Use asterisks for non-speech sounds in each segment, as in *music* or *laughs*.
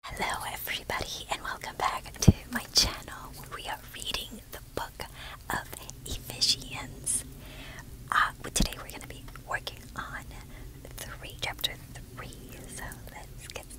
Hello, everybody, and welcome back to my channel where we are reading the book of Ephesians. Uh, today, we're going to be working on three, chapter three, so let's get started.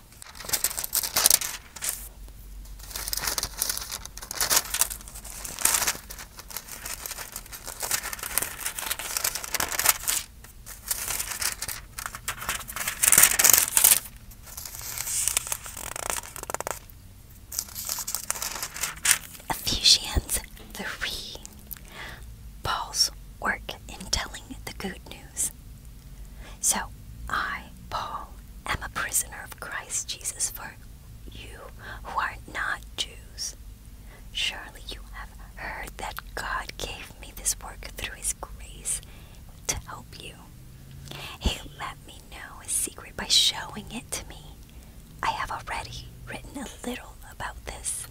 Ephesians 3 Paul's work in telling the good news so I, Paul, am a prisoner of Christ Jesus for you who are not Jews. Surely you have heard that God gave me this work through His grace to help you. He let me know His secret by showing it to me. I have already written a little about this.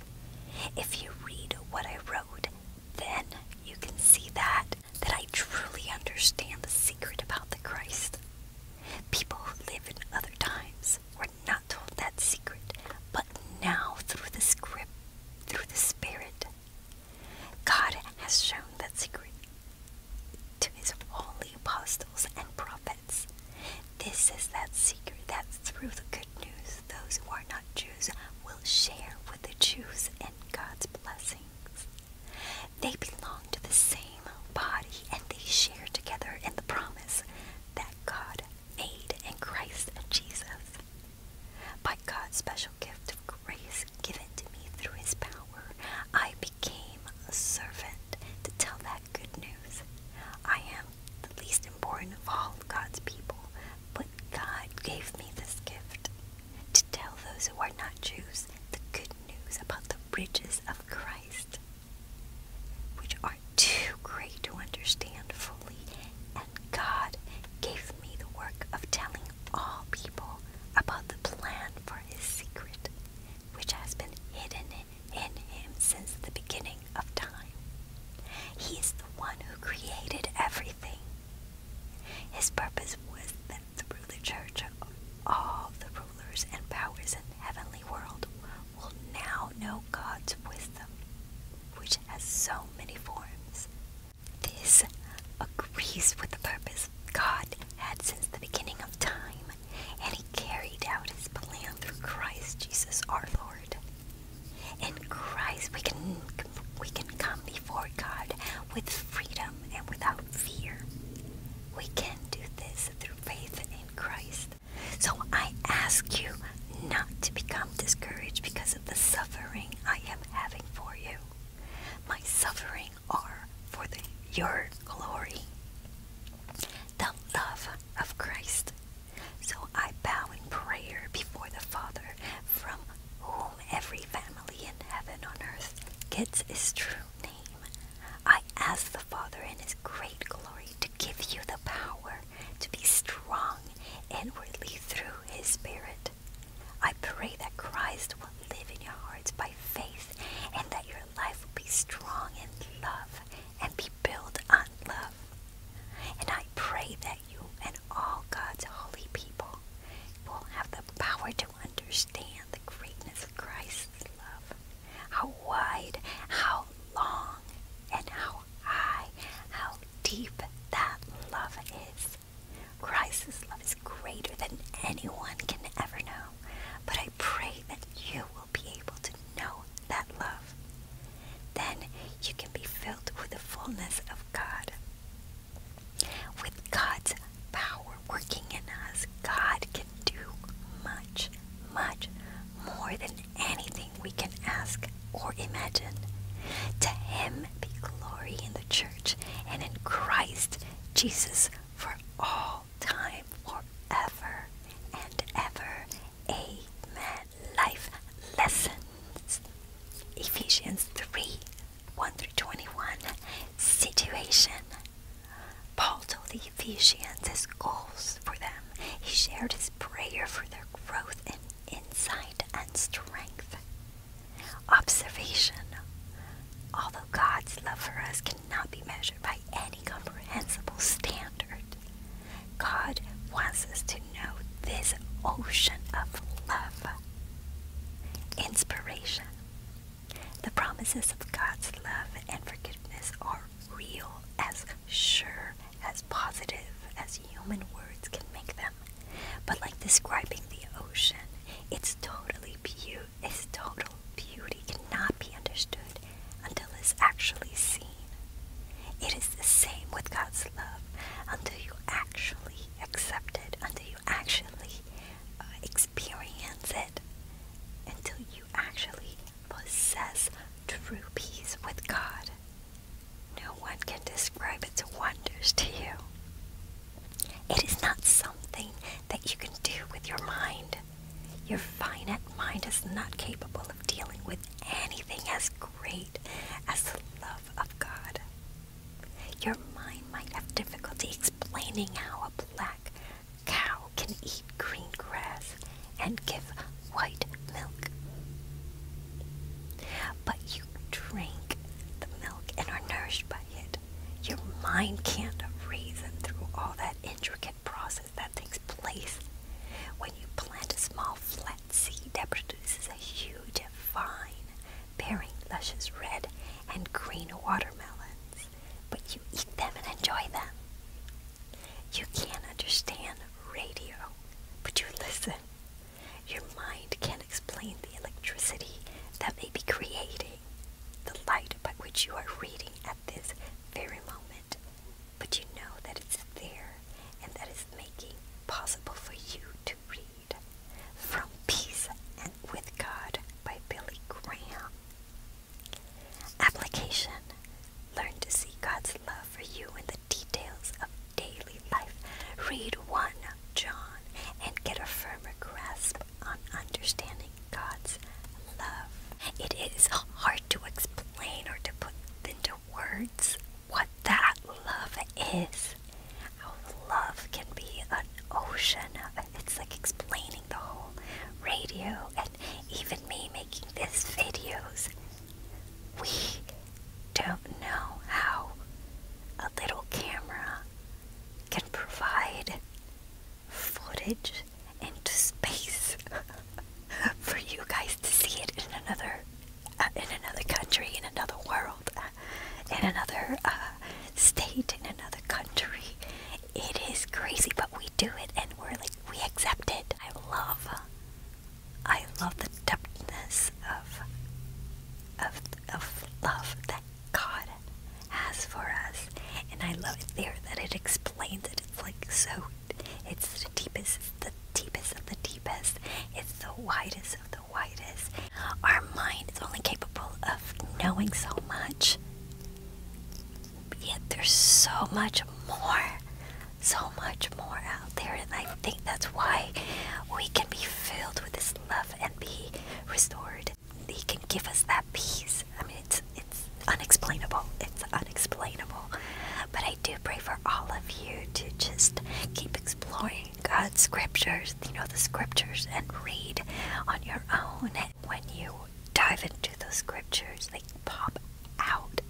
If you read what I wrote, then you can see that that I truly understand the secret about the Christ. People who live in other times were not told that secret, but now through the script, through the Spirit, God has shown that secret to His holy apostles and prophets. This is that secret that through the good news, those who are not Jews will share with the Jews in God's blessings. They belong to the same body and they share together in the promise that God made in Christ Jesus. By God's special gift of grace given to me through his power, I became a servant to tell that good news. I am the least important of all God's people, but God gave me this gift to tell those who are not Jews the good news about the riches of Christ, which are too great to understand fully. And God gave me the work of telling all people about the plan for his secret, which has been hidden in him since the beginning of time. He is the one who created everything. His purpose was that through the church, all the rulers and powers in heavenly world will now know God's wisdom, which has so many forms. This agrees with the purpose God had since the beginning of time, and He carried out His plan through Christ Jesus our Lord. In Christ, we can we can come before God with freedom and without fear. We can do this through faith in Christ. So I ask you not to become discouraged because of the suffering I am having for you. My suffering are for the, your glory. The love of Christ so I bow in prayer before the Father, from whom every family in heaven on earth gets its true name. I ask the Father in his great glory to give you the power to be strong inwardly through his Spirit. I pray that Christ will live in your hearts by faith and that your life will be strong in love and be built on love. And I pray that you and all God's holy people will have the power to understand the greatness of Christ's love, how wide, how long, and how high, how deep that love is. Christ's love is greater than anyone can ever know, but I pray that you will be able to know that love. Then you can be filled with the fullness of God. With God's power working in us, God can do much, much more than anything we can ask or imagine. To Him be glory in the church and in Christ Jesus for all time, forever and ever. Amen life lessons. Ephesians 3 1 through 21. Situation. Paul told the Ephesians his goals for them. He shared his prayer for their growth in insight and strength. Observation. Although God's love for us cannot be measured by any comprehensible standard, God wants us to know this ocean of love. Inspiration. The promises of God's love and forgiveness are real, as sure, as positive as human words can make them. But like describing the ocean, its totally beauty, its total beauty cannot be understood until it's actually seen. It is the same with God's love until you actually accept it, until you actually uh, experience it, until you actually possess true peace with God. No one can describe its wonders to you. It is not something that you can do with your mind. Your finite mind is not capable of dealing with anything as great as the love of God. Your mind might have difficulty explaining how a black cow can eat green grass and give white milk. But you drink the milk and are nourished by it. Your mind can't reason through all that intricate process that takes place when you plant a small flat seed that produces a huge vine bearing luscious red and green watermelons, but you eat them and enjoy them. You can't understand radio, but you listen. Your mind can't explain the electricity that may be creating the light by which you are reading at this very moment but you know that it's there and that is making possible for you to read. From Peace and with God by Billy Graham. Application Learn to see God's love for you in the details of daily life. Read 1 John and get a firmer grasp on understanding God's love. It is hard to explain or to put into words what that love is. How love can be an ocean. It's like explaining the whole radio and even me making these videos. We don't know how a little camera can provide footage into space *laughs* for you guys to see it in another uh, in another country, in another world, uh, in another uh, state, in another country. It is crazy, but we do it, and we're like we accept it. I love, I love the depthness of of of love that God has for us, and I love it there that it explains it. It's like so, it's the deepest, the deepest of the deepest, it's the widest of the widest. Our mind is only capable of knowing so much, yet there's so much more, so much more out there, and I think that's why we can be filled with this love and be restored he can give us that peace. I mean, it's it's unexplainable. It's unexplainable. But I do pray for all of you to just keep exploring God's scriptures, you know, the scriptures, and read on your own. When you dive into the scriptures, they pop out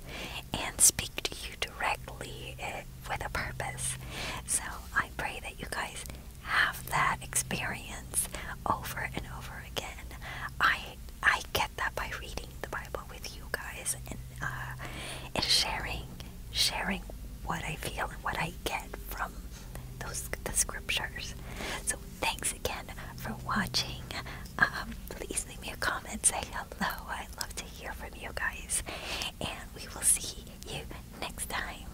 and speak to you directly eh, with a purpose. So I pray that you guys have that experience over and over again. I I get that by reading the Bible with you guys and uh, and sharing sharing what I feel and what I get from those the scriptures. So thanks again for watching. Um, please leave me a comment, say hello. I love to hear from you guys, and we will see you next time.